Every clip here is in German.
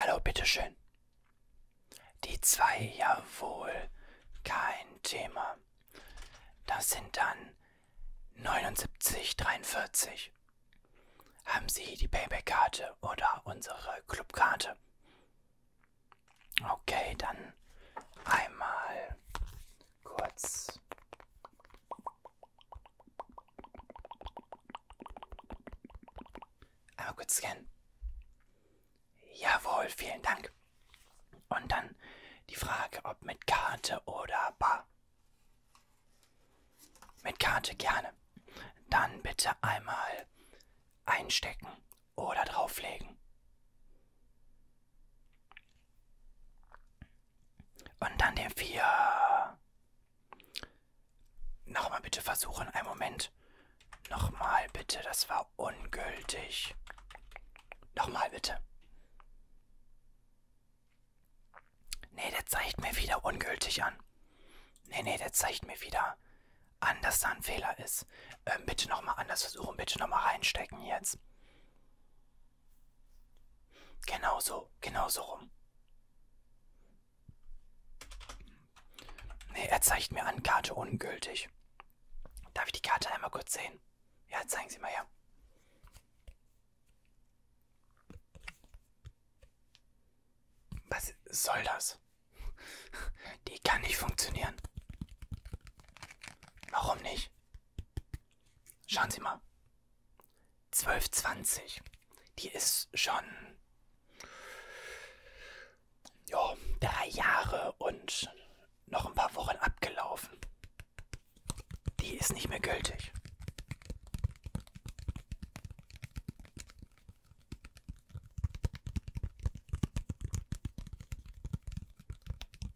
Hallo, bitteschön. Die zwei, jawohl. Kein Thema. Das sind dann 79,43. Haben Sie die Payback-Karte oder unsere Clubkarte? Okay, dann einmal kurz Einmal kurz scannen. Jawohl, vielen Dank. Und dann die Frage, ob mit Karte oder Bar. Mit Karte gerne. Dann bitte einmal einstecken oder drauflegen. Und dann den vier Nochmal bitte versuchen. Einen Moment. Nochmal bitte. Das war ungültig. Nochmal bitte. Nee, der zeigt mir wieder ungültig an. Nee, nee, der zeigt mir wieder an, dass da ein Fehler ist. Ähm, bitte nochmal anders versuchen. Bitte nochmal reinstecken jetzt. Genau so. Genau so rum. Ne, er zeigt mir an, Karte ungültig. Darf ich die Karte einmal kurz sehen? Ja, zeigen Sie mal her. Was soll das? Die kann nicht funktionieren. Warum nicht? Schauen Sie mal. 1220. Die ist schon ja, drei Jahre und noch ein paar Wochen abgelaufen. Die ist nicht mehr gültig.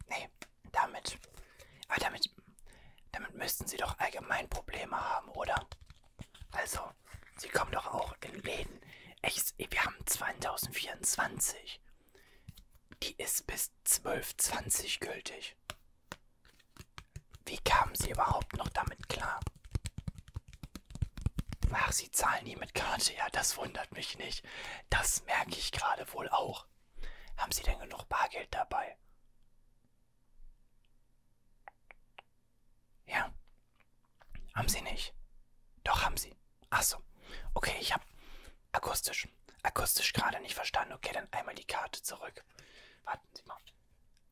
Nee, damit. Aber damit. Damit müssten sie doch allgemein Probleme haben, oder? Also doch, sie kommen doch auch in Läden. Echt, wir haben 2024. Die ist bis 1220 gültig. Wie kamen sie überhaupt noch damit klar? Ach, sie zahlen nie mit Karte. Ja, das wundert mich nicht. Das merke ich gerade wohl auch. Haben sie denn genug Bargeld dabei? Ja. Haben sie nicht. Doch, haben sie. Ach so. Okay, ich habe akustisch. Akustisch gerade nicht verstanden. Okay, dann einmal die Karte zurück. Warten Sie mal.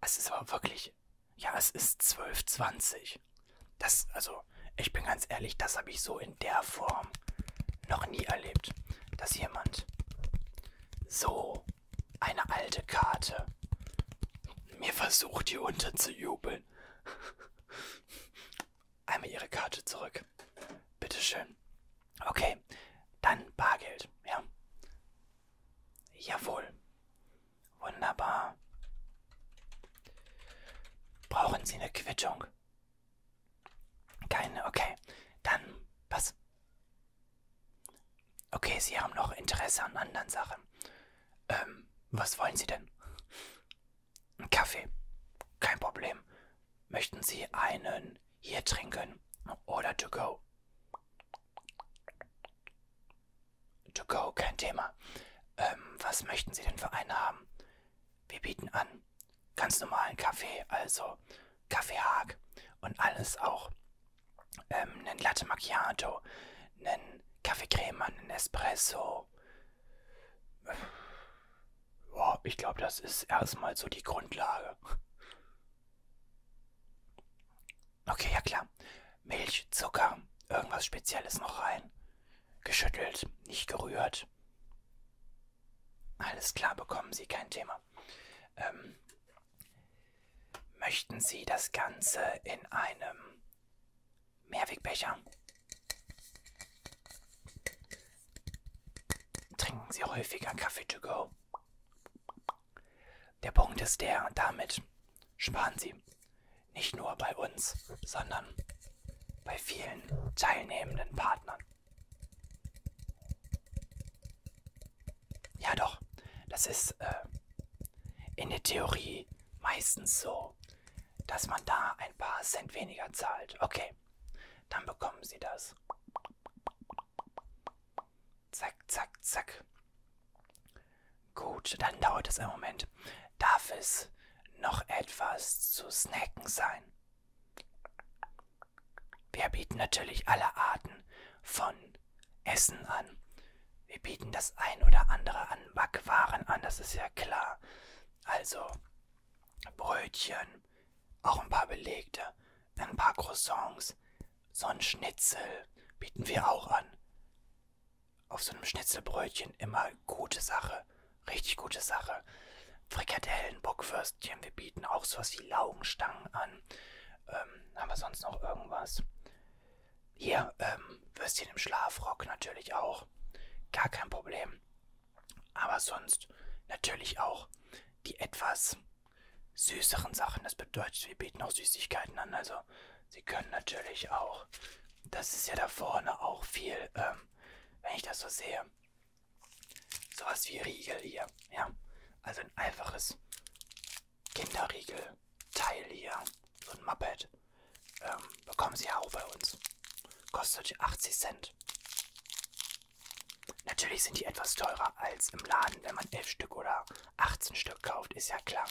Es ist aber wirklich. Ja, es ist 12.20. Das, also, ich bin ganz ehrlich, das habe ich so in der Form noch nie erlebt, dass jemand so eine alte Karte. Mir versucht hier unterzujubeln. Einmal ihre Karte zurück. Bitteschön. Okay, dann Bargeld, ja. Jawohl. Wunderbar. Brauchen Sie eine Quittung? Keine, okay. Dann, was? Okay, Sie haben noch Interesse an anderen Sachen. Ähm, was wollen Sie denn? Ein Kaffee. Kein Problem. Möchten Sie einen hier trinken oder to go? To go, kein Thema. Ähm, was möchten Sie denn für einen haben? Wir bieten an ganz normalen Kaffee, also Kaffeehag und alles auch ähm, einen Latte Macchiato, einen Kaffeecreme, einen Espresso. Ja, ich glaube, das ist erstmal so die Grundlage. Okay, ja klar. Milch, Zucker, irgendwas Spezielles noch rein. Geschüttelt, nicht gerührt. Alles klar, bekommen Sie kein Thema. Ähm, Möchten Sie das Ganze in einem Mehrwegbecher? Trinken Sie häufiger Kaffee to go. Der Punkt ist der, damit sparen Sie nicht nur bei uns, sondern bei vielen teilnehmenden Partnern. Ja, doch. Das ist äh, in der Theorie meistens so, dass man da ein paar Cent weniger zahlt. Okay, dann bekommen Sie das. Zack, zack, zack. Gut, dann dauert es einen Moment. Darf es noch etwas zu snacken sein? Wir bieten natürlich alle Arten von Essen an. Wir bieten das ein oder andere an Backwaren an, das ist ja klar. Also Brötchen, auch ein paar belegte, ein paar Croissants, so ein Schnitzel bieten wir auch an. Auf so einem Schnitzelbrötchen immer gute Sache, richtig gute Sache. Frikadellen, Bockwürstchen, wir bieten auch sowas wie Laugenstangen an. Ähm, haben wir sonst noch irgendwas? Hier, ähm, Würstchen im Schlafrock natürlich auch. Gar kein Problem. Aber sonst natürlich auch die etwas süßeren Sachen. Das bedeutet, wir bieten auch Süßigkeiten an. Also Sie können natürlich auch, das ist ja da vorne auch viel, ähm, wenn ich das so sehe, sowas wie Riegel hier. Ja, also ein einfaches Kinderriegel, Teil hier, so ein Muppet, ähm, bekommen sie auch bei uns. Kostet 80 Cent. Natürlich sind die etwas teurer als im Laden, wenn man 11 Stück oder 18 Stück kauft, ist ja klar.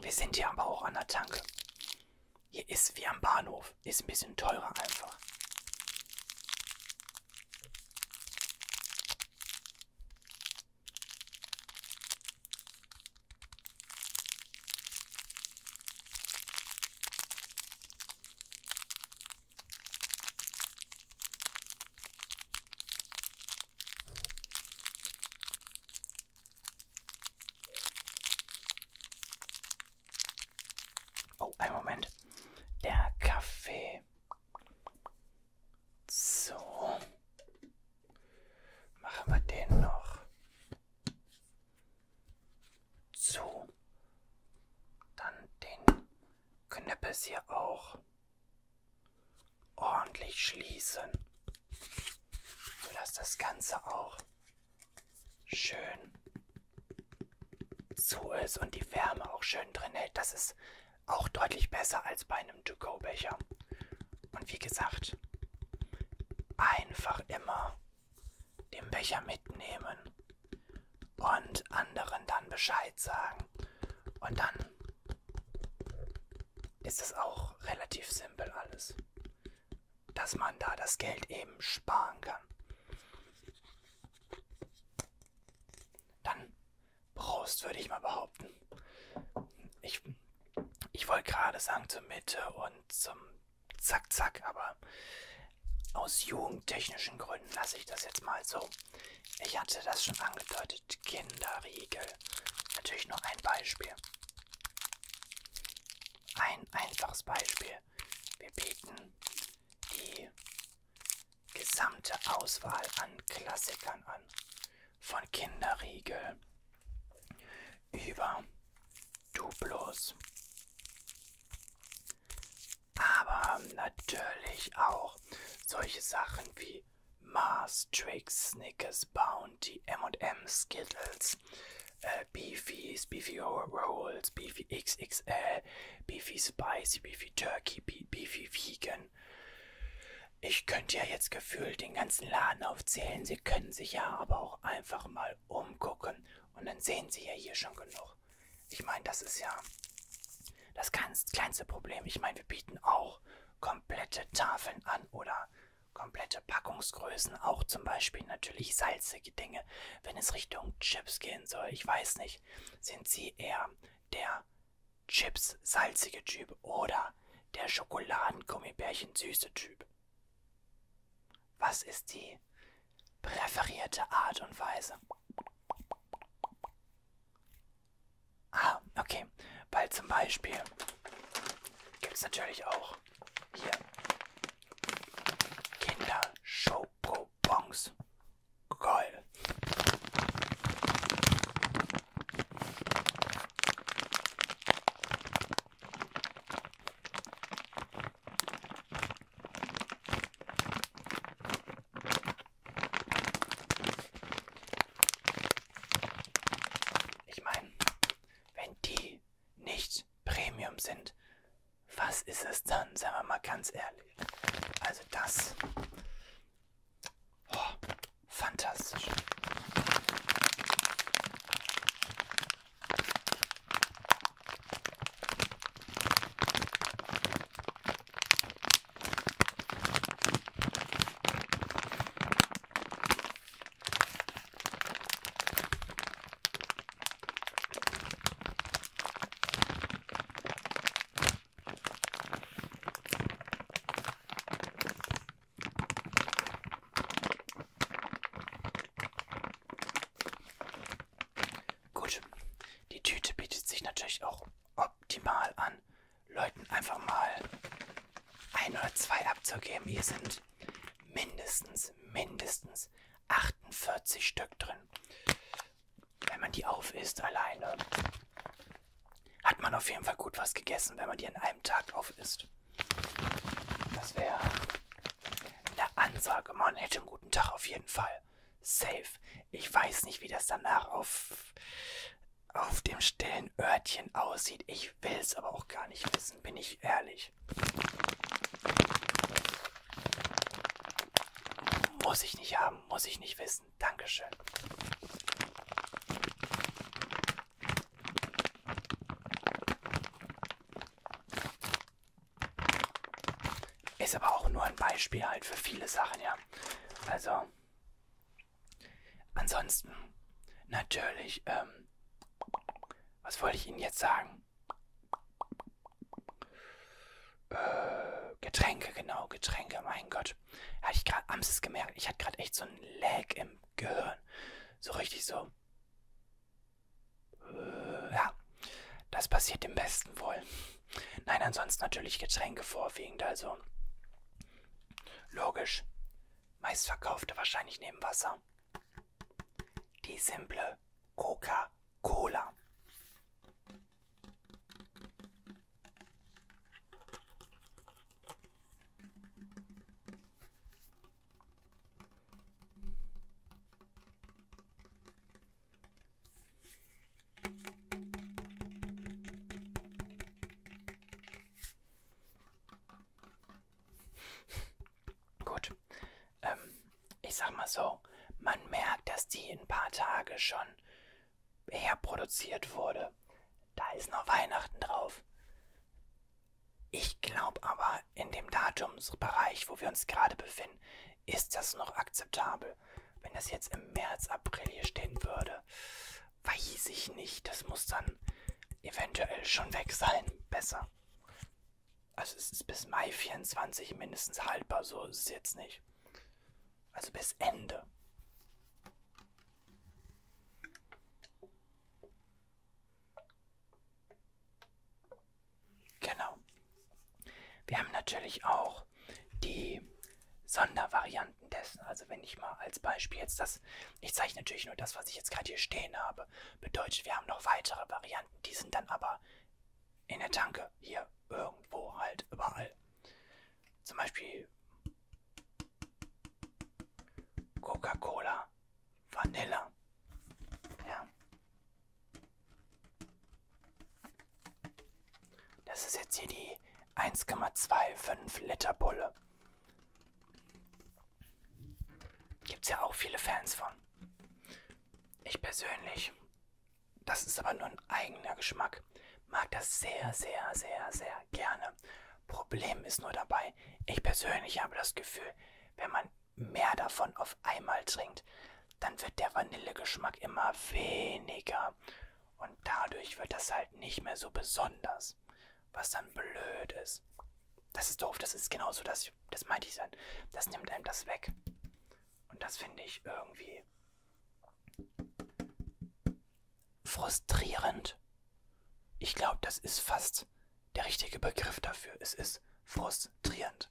Wir sind hier aber auch an der Tanke. Hier ist wie am Bahnhof, ist ein bisschen teurer einfach. Oh, einen Moment. Der Kaffee so. Machen wir den noch zu. Dann den Knöppels hier auch ordentlich schließen, sodass das Ganze auch schön zu ist und die Wärme auch schön drin hält. Das ist auch deutlich besser als bei einem To-Go-Becher. Und wie gesagt, einfach immer den Becher mitnehmen und anderen dann Bescheid sagen. Und dann ist es auch relativ simpel alles, dass man da das Geld eben sparen kann. Dann Prost, würde ich mal behaupten. Ich, ich wollte gerade sagen zur Mitte und zum Zack-Zack, aber aus jugendtechnischen Gründen lasse ich das jetzt mal so. Ich hatte das schon angedeutet. Kinderriegel. Natürlich nur ein Beispiel. Ein einfaches Beispiel. Wir bieten die gesamte Auswahl an Klassikern an. Von Kinderriegel über Duplos. Aber natürlich auch solche Sachen wie Mars, Tricks, Snickers, Bounty, M&M, Skittles, äh, Beefies, Beefy Rolls, Beefy XXL, Beefy Spicy, Beefy Turkey, Beefy Vegan, ich könnte ja jetzt gefühlt den ganzen Laden aufzählen. Sie können sich ja aber auch einfach mal umgucken. Und dann sehen Sie ja hier schon genug. Ich meine, das ist ja das ganz kleinste Problem. Ich meine, wir bieten auch komplette Tafeln an oder komplette Packungsgrößen, auch zum Beispiel natürlich salzige Dinge, wenn es Richtung Chips gehen soll. Ich weiß nicht, sind Sie eher der Chips salzige Typ oder der Schokoladengummibärchen süße Typ? Was ist die präferierte Art und Weise? Ah, okay, weil zum Beispiel gibt es natürlich auch hier Kinder Schoko Bonbons. Geil. Ich meine, wenn die nicht Premium sind, was ist es dann? Sagen wir mal ganz ehrlich. Also das Oh, fantastisch. Gut, die Tüte bietet sich natürlich auch optimal an, Leuten einfach mal ein oder zwei abzugeben. Hier sind mindestens, mindestens 48 Stück drin wenn man die auf isst alleine, hat man auf jeden Fall gut was gegessen, wenn man die an einem Tag auf isst. Das wäre eine Ansage. Man hätte einen guten Tag auf jeden Fall. Safe. Ich weiß nicht, wie das danach auf, auf dem stillen Örtchen aussieht. Ich will es aber auch gar nicht wissen, bin ich ehrlich. Muss ich nicht haben, muss ich nicht wissen. Dankeschön. Ist aber auch nur ein Beispiel halt für viele Sachen, ja. Also, ansonsten, natürlich, ähm, was wollte ich Ihnen jetzt sagen? Äh, Getränke, genau, Getränke, mein Gott. Hatte ich gerade amts gemerkt. Ich hatte gerade echt so einen Lag im Gehirn. So richtig so. Äh, ja, das passiert dem Besten wohl. Nein, ansonsten natürlich Getränke vorwiegend, also. Logisch. Meistverkaufte wahrscheinlich neben Wasser. Die simple Coca-Cola. Gut. Ähm, ich sag mal so, man merkt, dass die in ein paar Tage schon herproduziert wurde. Da ist noch Weihnachten drauf. Ich glaube aber, in dem Datumsbereich, wo wir uns gerade befinden, ist das noch akzeptabel. Wenn das jetzt im März, April hier stehen würde, weiß ich nicht. Das muss dann eventuell schon weg sein. Besser. Also es ist bis Mai 24 mindestens haltbar, so ist es jetzt nicht. Also bis Ende. Genau. Wir haben natürlich auch die Sondervarianten dessen. Also wenn ich mal als Beispiel jetzt das, ich zeichne natürlich nur das, was ich jetzt gerade hier stehen habe, bedeutet, wir haben noch weitere Varianten, die sind dann aber in der Tanke, hier, irgendwo halt, überall. Zum Beispiel Coca-Cola, Vanille. Ja. Das ist jetzt hier die 1,25 Liter Bulle. Gibt es ja auch viele Fans von. Ich persönlich das ist aber nur ein eigener Geschmack. Mag das sehr, sehr, sehr, sehr gerne. Problem ist nur dabei, ich persönlich habe das Gefühl, wenn man mehr davon auf einmal trinkt, dann wird der Vanillegeschmack immer weniger. Und dadurch wird das halt nicht mehr so besonders. Was dann blöd ist. Das ist doof, das ist genauso, das, das meinte ich dann. Das nimmt einem das weg. Und das finde ich irgendwie frustrierend. Ich glaube, das ist fast der richtige Begriff dafür. Es ist frustrierend.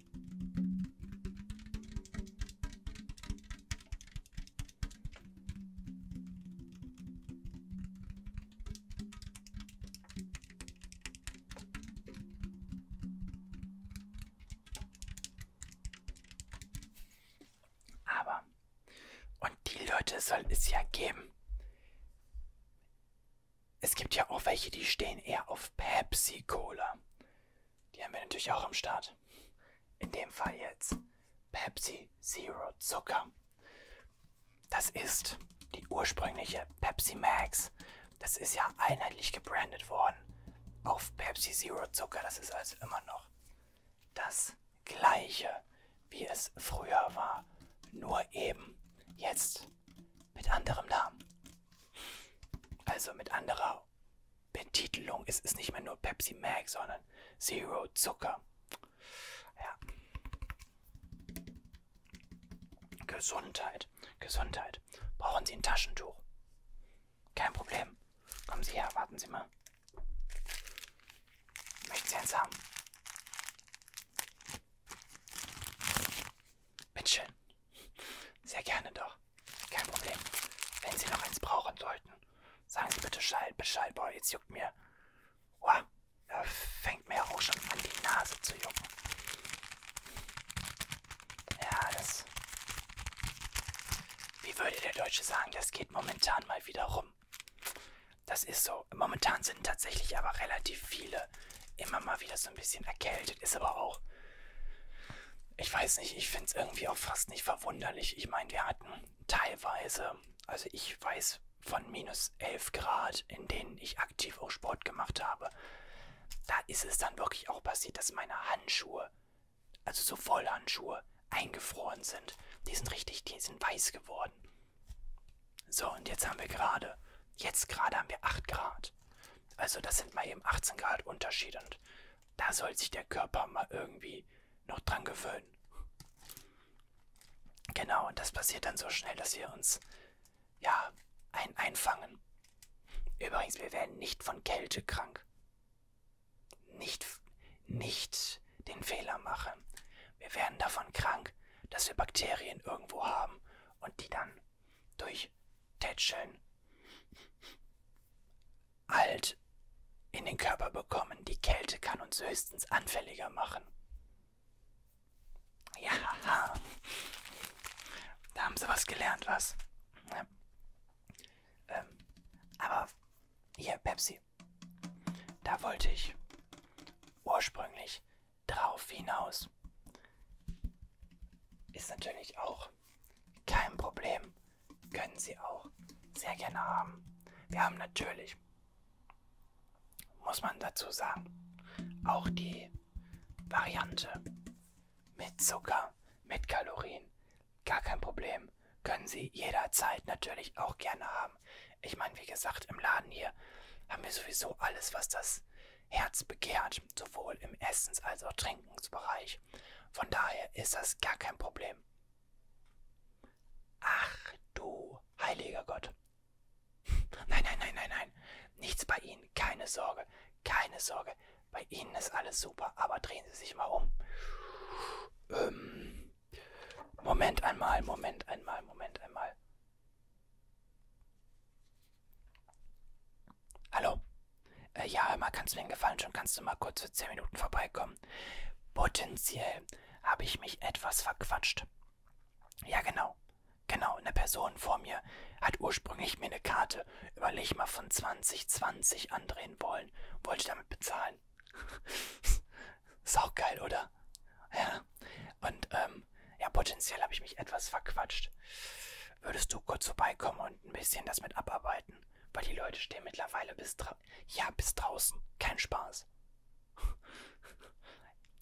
Aber, und die Leute soll es ja geben. Es gibt ja auch welche, die stehen eher auf Pepsi-Cola. Die haben wir natürlich auch am Start. In dem Fall jetzt Pepsi Zero Zucker. Das ist die ursprüngliche Pepsi Max. Das ist ja einheitlich gebrandet worden auf Pepsi Zero Zucker. Das ist also immer noch das gleiche, wie es früher war. Nur eben jetzt mit anderem Namen. Also mit anderer Betitelung ist es nicht mehr nur Pepsi Max, sondern Zero Zucker. Ja. Gesundheit, Gesundheit. Brauchen Sie ein Taschentuch? Kein Problem. Kommen Sie her, warten Sie mal. Möchten Sie eins haben? Bitteschön. Sehr gerne doch. Kein Problem. Wenn Sie noch eins brauchen sollten, sagen Sie bitte Bescheid, Bescheid, boah, jetzt juckt mir. Wow, da fängt mir auch schon an, die Nase zu jucken. Ja, das. Wie würde der Deutsche sagen, das geht momentan mal wieder rum. Das ist so. Momentan sind tatsächlich aber relativ viele immer mal wieder so ein bisschen erkältet. Ist aber auch ich weiß nicht, ich finde es irgendwie auch fast nicht verwunderlich. Ich meine, wir hatten teilweise, also ich weiß von minus 11 Grad, in denen ich aktiv auch Sport gemacht habe, da ist es dann wirklich auch passiert, dass meine Handschuhe, also so Vollhandschuhe, eingefroren sind. Die sind richtig, die sind weiß geworden. So, und jetzt haben wir gerade, jetzt gerade haben wir 8 Grad. Also das sind mal eben 18 Grad Unterschied und da soll sich der Körper mal irgendwie noch dran gewöhnen. Genau, und das passiert dann so schnell, dass wir uns, ja, ein einfangen. Übrigens, wir werden nicht von Kälte krank. Nicht, nicht den Fehler machen. Wir werden davon krank, dass wir Bakterien irgendwo haben und die dann durch Tätscheln alt in den Körper bekommen. Die Kälte kann uns höchstens anfälliger machen. Ja, da haben sie was gelernt, was? Ja. Ähm, aber hier, Pepsi, da wollte ich ursprünglich drauf hinaus. Ist natürlich auch auch. Kein Problem. Können Sie auch sehr gerne haben. Wir haben natürlich, muss man dazu sagen, auch die Variante mit Zucker, mit Kalorien. Gar kein Problem. Können Sie jederzeit natürlich auch gerne haben. Ich meine, wie gesagt, im Laden hier haben wir sowieso alles, was das herzbegehrt, sowohl im Essens- als auch Trinkensbereich. Von daher ist das gar kein Problem. Ach du heiliger Gott. nein, nein, nein, nein, nein. Nichts bei Ihnen, keine Sorge, keine Sorge. Bei Ihnen ist alles super, aber drehen Sie sich mal um. Ähm, Moment einmal, Moment einmal, Moment einmal. Hallo? Äh, ja, hör mal, kannst du mir einen Gefallen schon? Kannst du mal kurz für 10 Minuten vorbeikommen? Potenziell habe ich mich etwas verquatscht. Ja, genau. Genau, eine Person vor mir hat ursprünglich mir eine Karte, überleg mal, von 2020 andrehen wollen. Wollte damit bezahlen. Ist auch geil, oder? Ja. Und, ähm, ja, potenziell habe ich mich etwas verquatscht. Würdest du kurz vorbeikommen und könnt ein bisschen das mit abarbeiten, weil die Leute stehen mittlerweile bis ja bis draußen. Kein Spaß.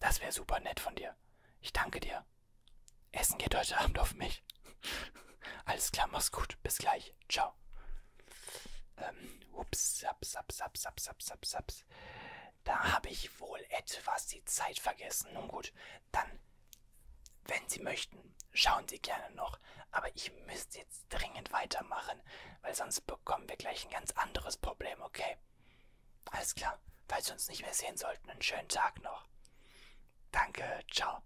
Das wäre super nett von dir. Ich danke dir. Essen geht heute Abend auf mich. Alles klar, mach's gut. Bis gleich. Ciao. Ähm, ups, saps, saps, saps, saps, saps, saps. Da habe ich wohl etwas die Zeit vergessen. Nun gut, dann, wenn Sie möchten, schauen Sie gerne noch. Aber ich müsste jetzt dringend weitermachen, weil sonst bekommen wir gleich ein ganz anderes Problem, okay? Alles klar, falls wir uns nicht mehr sehen sollten, einen schönen Tag noch. Danke, ciao.